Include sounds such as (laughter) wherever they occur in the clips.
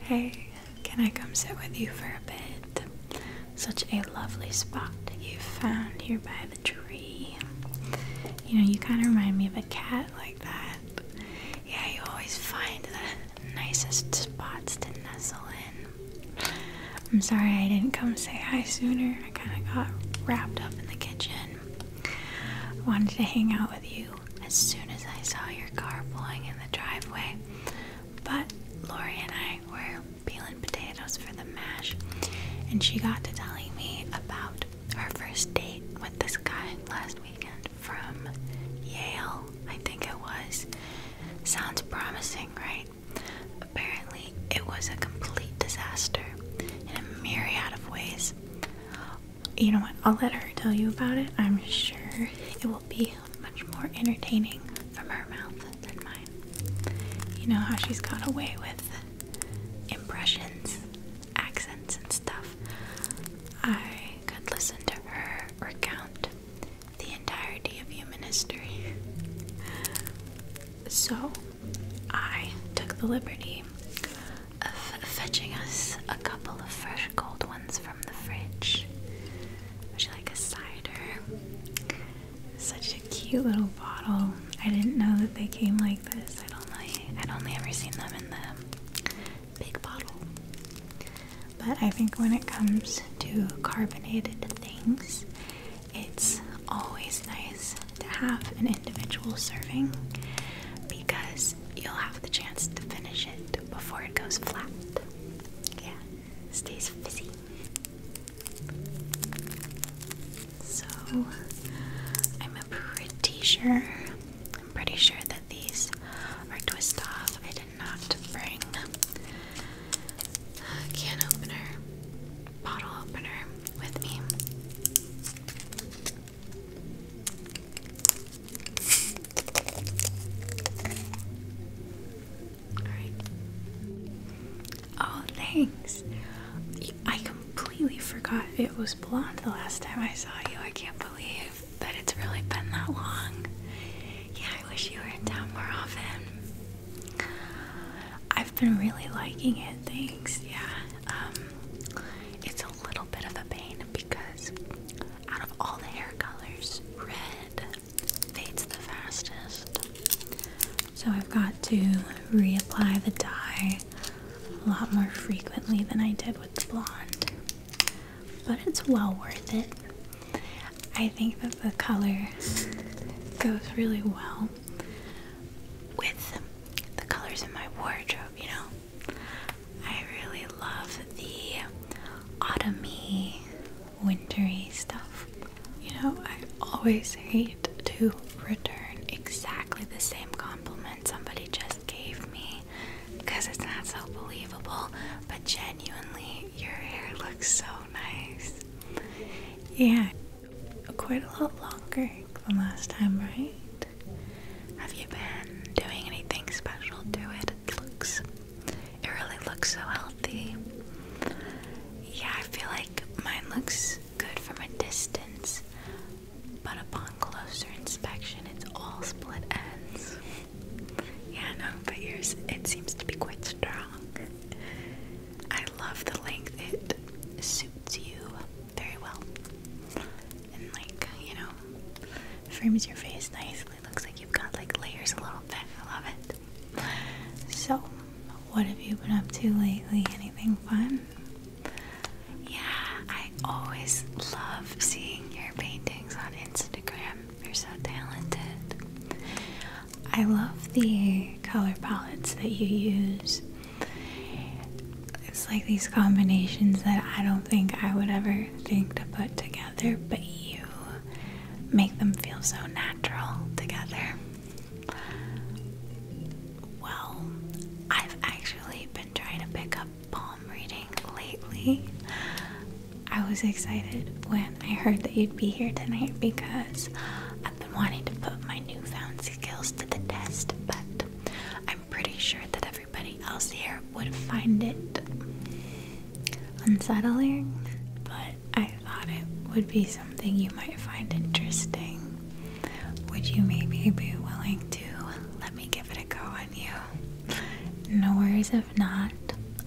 Hey, can I come sit with you for a bit? Such a lovely spot you found here by the tree. You know, you kind of remind me of a cat like that. Yeah, you always find the nicest spots to nestle in. I'm sorry I didn't come say hi sooner. I kind of got wrapped up in the kitchen. I wanted to hang out with you as soon as I saw your car pulling in the driveway. But Lori and I were peeling potatoes for the mash, and she got to telling me about her first date with this guy last weekend from Yale, I think it was. Sounds promising, right? Apparently, it was a complete disaster in a myriad of ways you know what? I'll let her tell you about it. I'm sure it will be much more entertaining from her mouth than mine. You know how she's got away with impressions, accents, and stuff. I could listen to her recount the entirety of human history. So, I took the liberty of fetching us a couple of fresh cold ones for the fridge. Would you like a cider? Such a cute little bottle. I didn't know that they came like this. I'd only I'd only ever seen them in the big bottle. But I think when it comes to carbonated things, it's always nice to have an individual serving because you'll have the chance to finish it before it goes flat. Yeah, stays fizzy. So, I'm pretty sure, I'm pretty sure that these are twist off. I did not bring a can opener, bottle opener with me. Oh, thanks. I completely forgot it was blonde the last time I saw you. I can't believe that it's really been that long. Yeah, I wish you were in town more often. I've been really liking it, thanks. Yeah. Um, it's a little bit of a pain because out of all the hair colors, red fades the fastest. So I've got to reapply the dye a lot more frequently than I did with the blonde. But it's well worth it. I think that the color goes really well with the colors in my wardrobe, you know? I really love the autumny, wintery stuff. You know, I always hate to return exactly the same compliment somebody just gave me because it's not so believable, but genuinely, your hair looks so nice. Yeah, quite a lot longer than last time, right? Have you been doing anything special to it? It looks, it really looks so healthy. Yeah, I feel like mine looks good from a distance, but upon closer inspection, it's all split ends. Yeah, no, but yours, it seems to be quite strong. I love the length, it suits you very well. And, like, you know, frames your face nicely really looks like you've got like layers a little bit. I love it. So, what have you been up to lately? Anything fun? Yeah, I always love seeing your paintings on Instagram. You're so talented. I love the color palettes that you use. It's like these combinations that I don't think I would ever think to put together but you make them feel so natural together. Well, I've actually been trying to pick up palm reading lately. I was excited when I heard that you'd be here tonight because I've been wanting to put my newfound skills to the test, but I'm pretty sure that I've everybody else here would find it unsettling, but I thought it would be something you might find interesting. Would you maybe be willing to let me give it a go on you? No worries if not.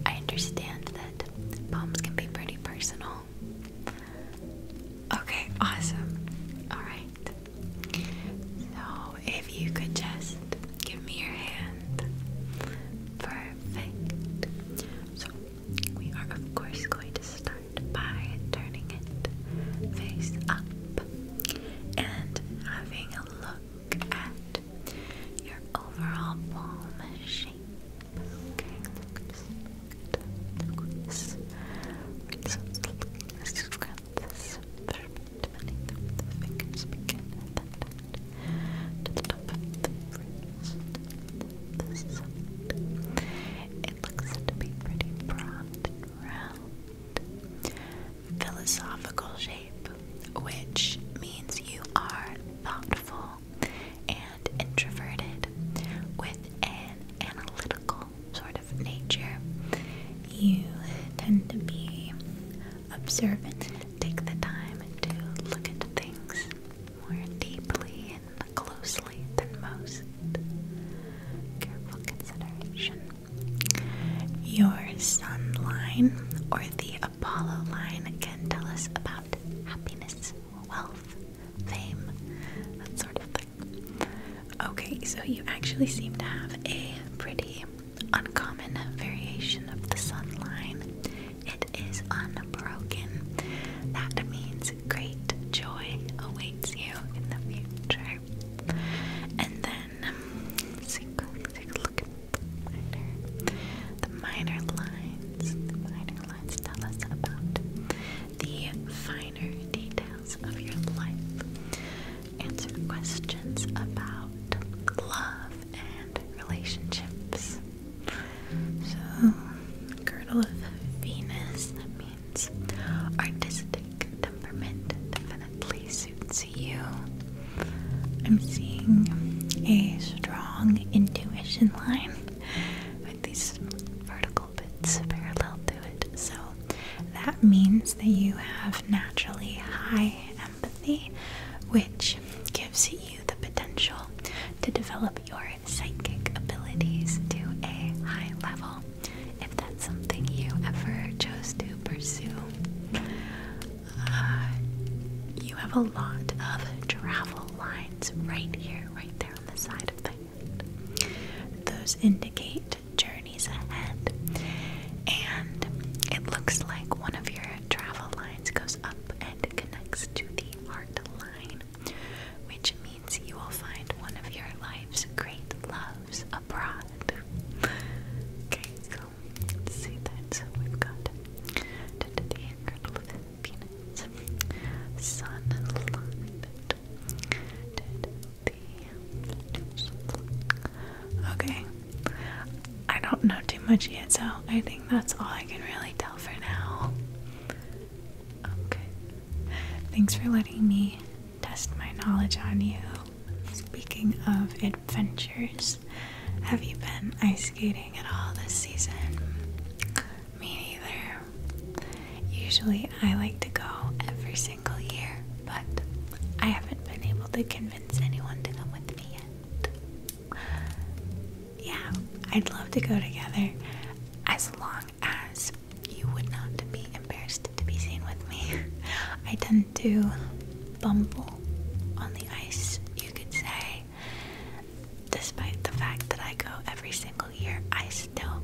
I understand that poems can be pretty personal. Okay, awesome. Alright. So if you could just give me your hand. Perfect. So, we are, of course, going to start by turning it face up and having a look at your overall palm shape. Okay, this fruit beneath the fingers begin and to the top of the fruits this It looks to be pretty broad and round. Philosophical shape, which means you are thoughtful and introverted with an analytical sort of nature. You tend to be observant. Take the time to look at things more deeply and closely than most. Careful consideration. Your sun line or the Apollo line can tell us about happiness, wealth, fame, that sort of thing. Okay, so you actually seem to have a pretty uncommon variation of the sun line. It is unbroken. That means great joy awaits you in the future. And then, um, so take a look at the minor. The minor lines. The minor lines tell us about the finer details of your life answer questions about love and relationships. So, girdle of Venus that means artistic temperament definitely suits you. I'm seeing a strong intuition line with these vertical bits parallel to it. So that means that you have naturally high which gives you the potential to develop your psychic abilities to a high level if that's something you ever chose to pursue. Uh, you have a lot of travel lines right here, right there on the side of the hand. Those indicate journeys ahead. And it looks like one of your travel lines goes up and connects to the heart line, which means you will find one of your life's great loves abroad. Okay, so see that. So we've got the girdle of Okay. I don't know too much yet, so I think that's all I can really tell for now. Okay. Thanks for letting me test my knowledge on you. Speaking of adventures, have you been ice skating at all this season? Me neither. Usually I like to go every single year, but I haven't been able to convince yeah, I'd love to go together as long as you would not be embarrassed to be seen with me. (laughs) I tend to bumble on the ice, you could say. Despite the fact that I go every single year, I still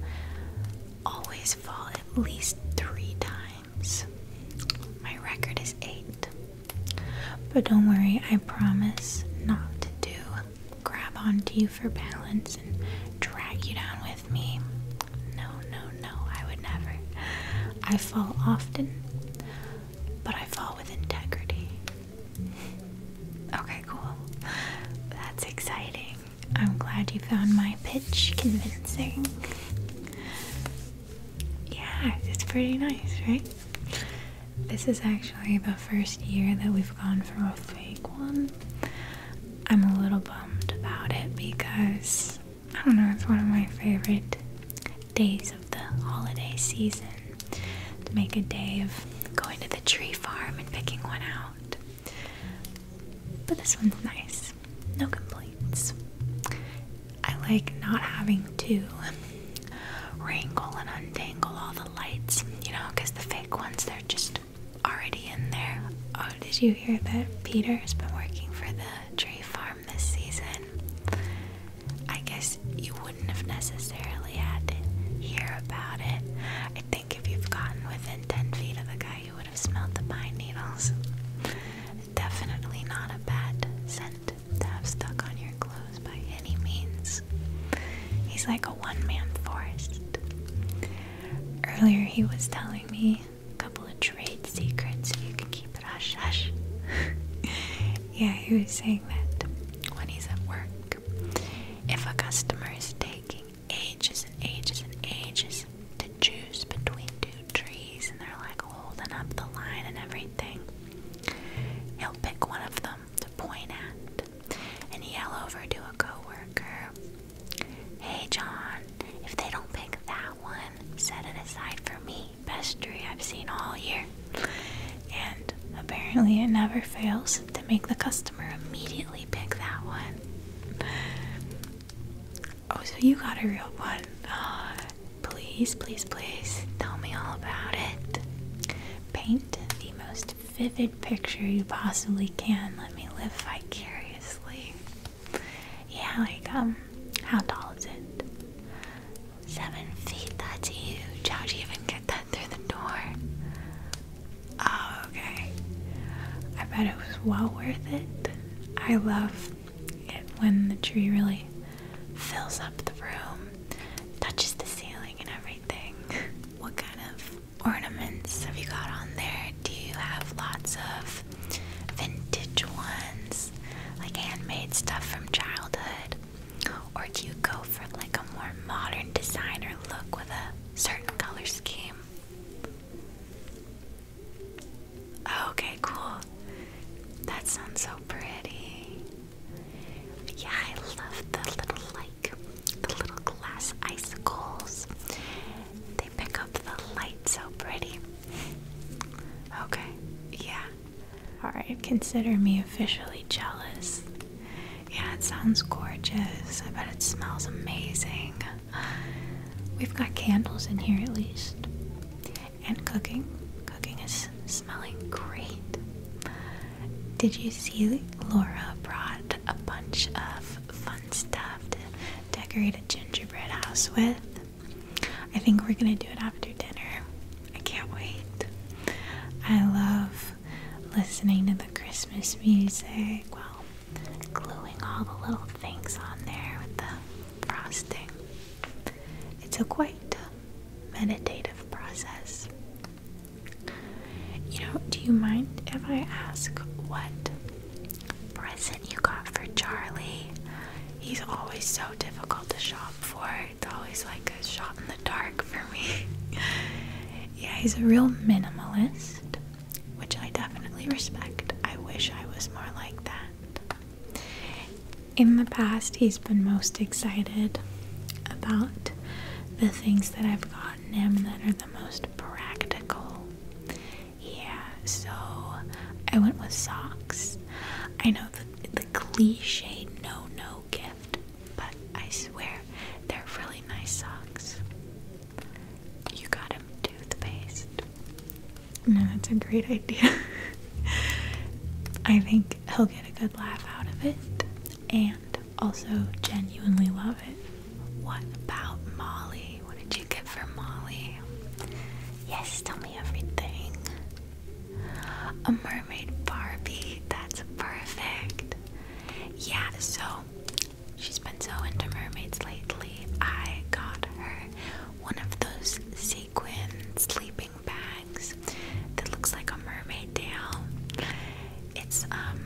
always fall at least three times. My record is eight. But don't worry, I promise not to grab onto you for balance and drag you down with me. No, no, no, I would never. I fall often, but I fall with integrity. Okay, cool. That's exciting. I'm glad you found my pitch convincing. Yeah, it's pretty nice, right? This is actually the first year that we've gone for a fake one. I'm a little bummed about it because I don't know, it's one of my favorite days of the holiday season to make a day of going to the tree farm and picking one out. But this one's nice no complaints. I like not having to wrangle and untangle all the lights, you know, because the fake ones, they're just already in there. Oh, did you hear that Peter's been working for the tree farm this season? I guess you wouldn't have necessarily had to hear about it. I think if you've gotten within 10 feet of the guy, you would have smelled the pine needles. Definitely not a bad scent to have stuck on your clothes by any means. He's like a one man forest. Earlier, he was telling me a couple of trade secrets so you can keep it hush hush. (laughs) yeah, he was saying that when he's at work. If a customer is taking ages and ages and ages to choose between two trees, and they're like holding up the line and everything. He'll pick one of them to point at and yell over to a coworker, "Hey, John! If they don't pick that one, set it aside for me. Best tree I've seen all year." And apparently, it never fails to make the customer immediately pick that one. Oh, so you got a real one. Uh, please, please, please tell me all about it. Paint the most vivid picture you possibly can. Let me live vicariously. Yeah, like, um, how tall is it? Seven feet, that's huge. How'd you even get that through the door? Oh, okay. I bet it was well worth it. I love when the tree really fills up the room, touches the ceiling and everything. (laughs) what kind of ornaments have you got on there? Do you have lots of vintage ones, like handmade stuff from childhood? Or do you go for like a more modern designer look with a certain color scheme? Oh, okay, cool. That sounds so pretty. Yeah, I love the little like the little glass icicles. They pick up the light so pretty. Okay, yeah. Alright, consider me officially jealous. Yeah, it sounds gorgeous. I bet it smells amazing. We've got candles in here at least. And cooking. Cooking is smelling great. Did you see Laura brought a bunch of fun stuff to decorate a gingerbread house with? I think we're gonna do it after dinner. I can't wait. I love listening to the Christmas music while gluing all the little things on there with the frosting. It's a quite meditative process. You know, do you mind if I ask what present you got for Charlie? He's always so difficult to shop for. It's always like a shot in the dark for me. (laughs) yeah, he's a real minimalist, which I definitely respect. I wish I was more like that. In the past, he's been most excited about the things that I've gotten him that are the most practical. Yeah, so I went with socks. I know the, cliche no no gift, but I swear they're really nice socks. You got him toothpaste. No, that's a great idea. (laughs) I think he'll get a good laugh out of it and also genuinely love it. What about Molly? What did you get for Molly? Yes, tell me everything. A mermaid Barbie. That's perfect. Yeah, so she's been so into mermaids lately. I got her one of those sequin sleeping bags that looks like a mermaid tail. It's um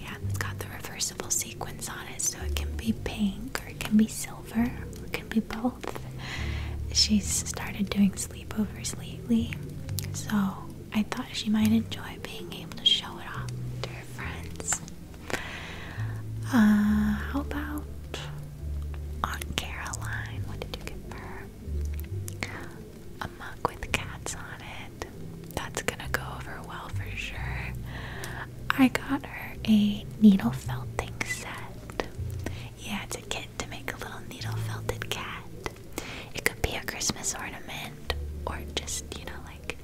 yeah, it's got the reversible sequins on it, so it can be pink or it can be silver or it can be both. She's started doing sleepovers lately, so I thought she might enjoy being able to show it off to her friends. Uh, how about Aunt Caroline? What did you give her? A mug with cats on it. That's gonna go over well for sure. I got her a needle felting set. Yeah, it's a kit to make a little needle felted cat. It could be a Christmas ornament or just, you know, like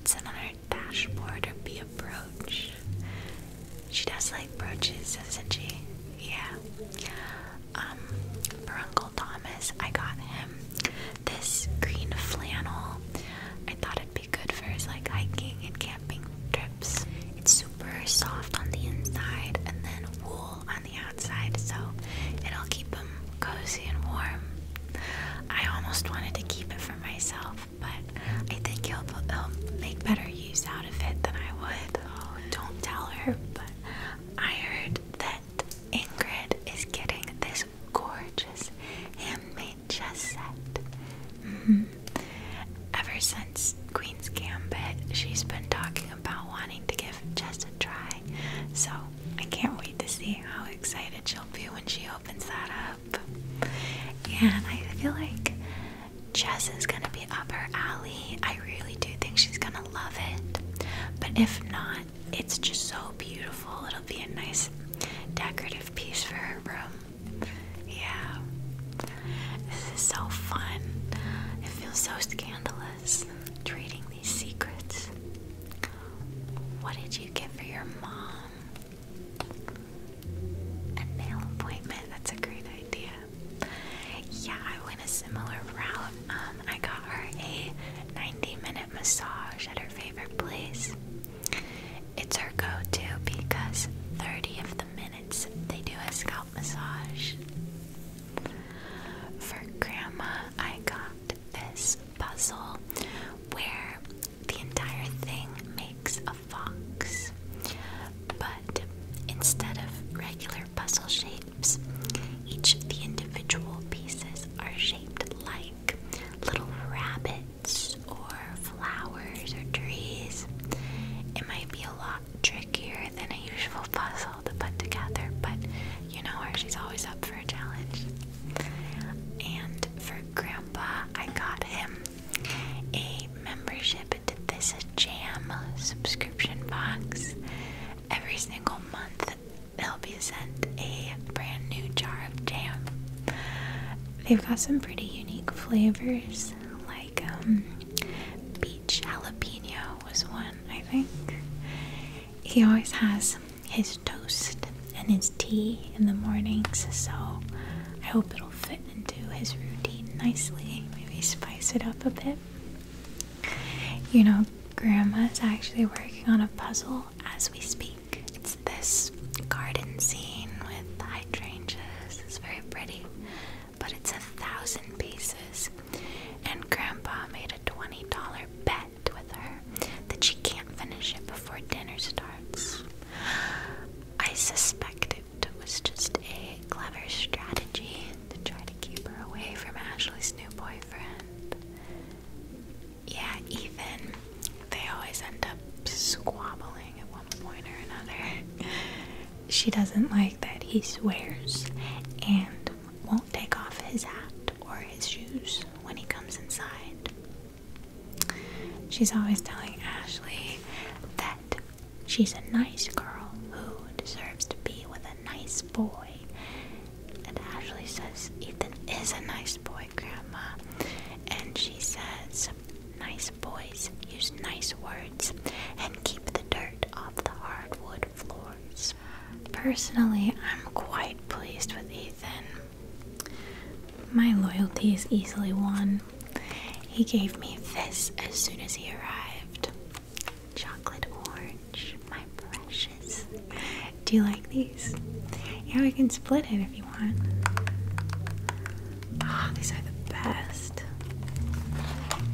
it's another dashboard or be a brooch. She does like brooches, doesn't she? Yeah. Um, for Uncle Thomas, I got him this green flannel. I thought it'd be good for his like hiking and camping trips. It's super soft on the inside and then wool on the outside, so it'll keep him cozy and warm. I almost wanted to keep it for myself, but I think he'll, he'll make better use out of it than I would. Oh, don't tell her, but I heard that Ingrid is getting this gorgeous handmade chess set. Mm -hmm. Ever since Queen's Gambit, she's been talking about wanting to give chess a try, so I can't wait to see how excited she'll be when she opens that and I feel like Jess is gonna be up her alley. I really do think she's gonna love it. But if not, it's just so beautiful. It'll be a nice decorative piece for her room. Yeah. This is so fun. It feels so scandalous trading these secrets. What did you get for your mom? A nail appointment, that's a great idea. Yeah, I went a similar route. Um, I got her a 90 minute massage at her favorite place. It's her go to because 30 of the minutes they do a scalp massage. For grandma, I got this puzzle where the entire thing makes a fox. But instead of regular puzzle shapes, each of the individual pieces are shaped like little rabbits or flowers or trees. It might be a lot trickier than a usual puzzle to put together, but you know her, she's always up for a challenge. And for Grandpa, I got him a membership into this jam subscription box. Every single month, they'll be sent a brand new jar of jam. They've got some pretty unique flavors, like beach um, peach jalapeno was one, I think. He always has his toast and his tea in the mornings, so I hope it'll fit into his routine nicely. Maybe spice it up a bit. You know, Grandma's actually working on a puzzle as we speak. It's this garden scene with hydrangeas. It's very pretty, but it's a thousand pieces. And Grandpa made a $20 bet with her that she can't finish it before dinner starts. I suspect it was just a clever strategy to try to keep her away from Ashley's new boyfriend. Yeah, Ethan. they always end up squabbling at one point or another. she doesn't like that he swears and won't take off his hat or his shoes when he comes inside. She's always telling Ashley that she's a nice girl who deserves to be with a nice boy. And Ashley says, Ethan is a nice boy, Grandma. And she says, Nice boys use nice words and keep the dirt off the hardwood floors. Personally, I'm quite pleased with Ethan. My loyalty is easily won. He gave me this as soon as he arrived. Chocolate orange, my precious. Do you like these? Yeah, we can split it if you want. Oh, these are the best.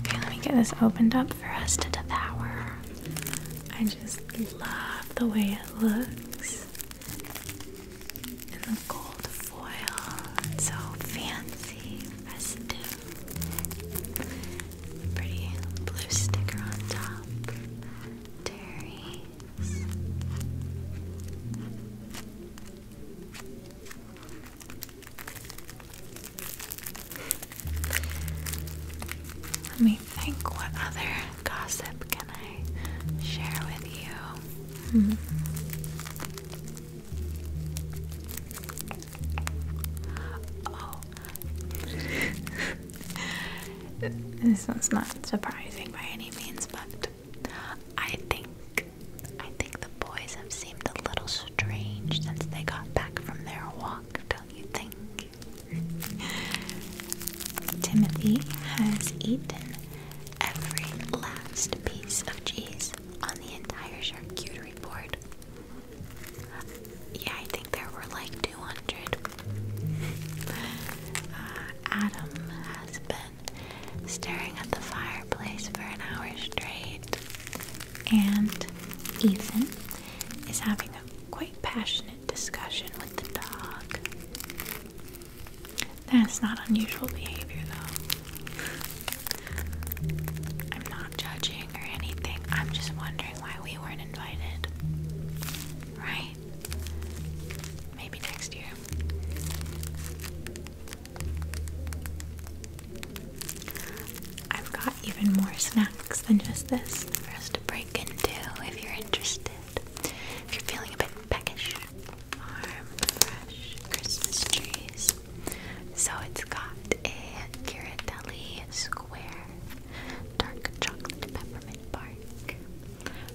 Okay, let me get this opened up for us to devour. I just love the way it looks in gold foil. so fancy, festive. Pretty blue sticker on top. Terry's. Let me think what other gossip can I share with you. Oh. this one's not surprising by any means, but I think I think the boys have seemed a little strange since they got back from their walk, don't you think? Timothy has eaten every last piece of cheese on the entire charcuterie board. Yeah, I think there were like 200. (laughs) Uh, Adam has been staring at the fireplace for an hour straight, and Ethan is having a quite passionate discussion with the dog. That's not unusual behavior, though. I'm not judging or anything. I'm just wondering why we weren't invited. Right? Maybe next year. I've got even more snacks than just this for us to break into if you're interested. If you're feeling a bit peckish farm fresh Christmas trees. So it's got a Ghirardelli square, dark chocolate peppermint bark,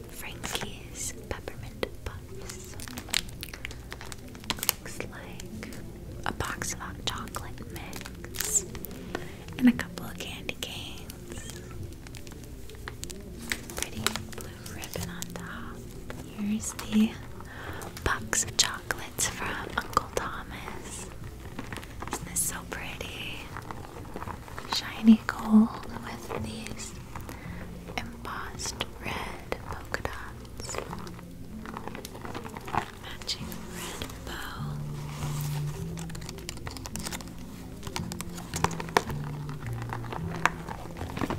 Frankie's peppermint puffs. Looks like a box of hot chocolate mix and a couple of candy canes. Pretty blue ribbon on top. Here's the box of chocolates from Uncle Thomas. Isn't this so pretty? Shiny gold with these embossed red polka dots. Matching red bow.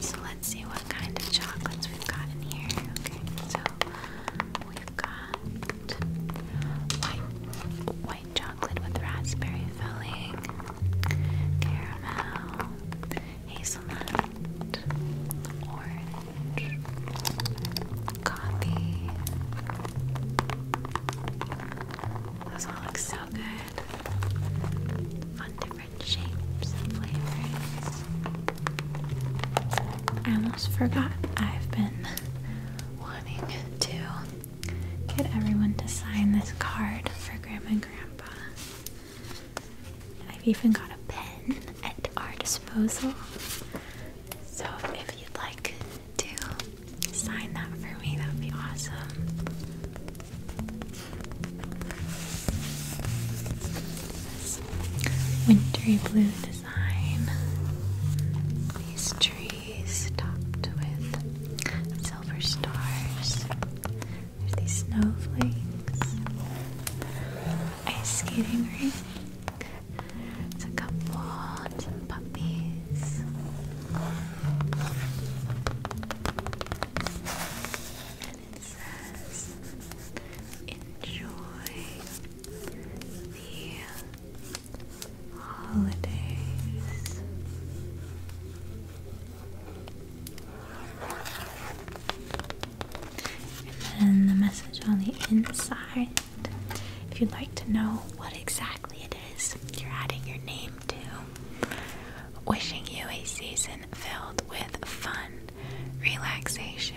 So let's see what kind of chocolates we've got in here. Okay, so we've got white white chocolate with raspberry filling, caramel, hazelnut, orange, coffee. Those all look so good on different shapes and flavors. I almost forgot I've been wanting to get everyone to sign this card for Grandma and Grandpa. I've even got a pen at our disposal. So if you'd like to sign that for me, that would be awesome. Wintry blue design. These trees topped with silver stars. There's these snowflakes. Ice skating rink. It's a couple, and puppies. And it says, enjoy the holidays. And then the message on the inside. If you'd like to know what exactly it is you're adding your name to, wishing you a season filled with fun, relaxation,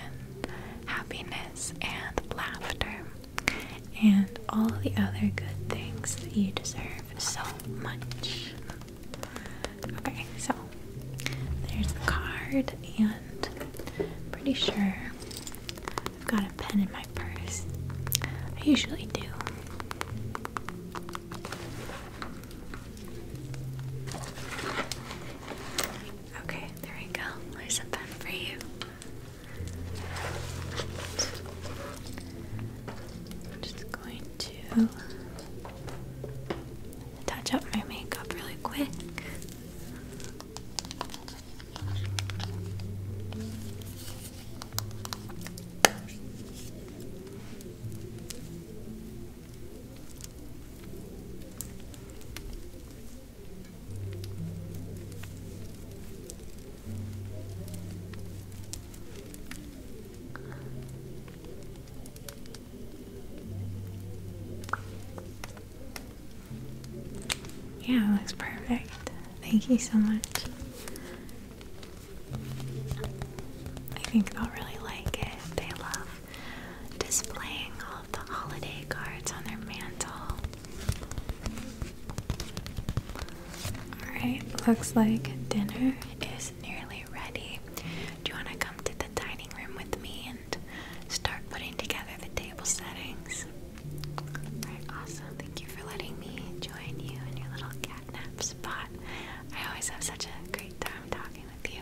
happiness, and laughter, and all the other good things that you deserve so much. Okay, so there's the card, and I'm pretty sure I've got a pen in my purse. I usually do. Okay, there we go. There's a pen for you. I'm just going to touch up my makeup really quick. Yeah, it perfect. Thank you so much. I think they'll really like it. They love displaying all of the holiday cards on their mantle. Alright, looks like dinner is nearly ready. Do you want to come to the dining room with me and start putting together the table settings? Alright, awesome. Thank you for letting me join you in your little catnap I always have such a great time talking with you.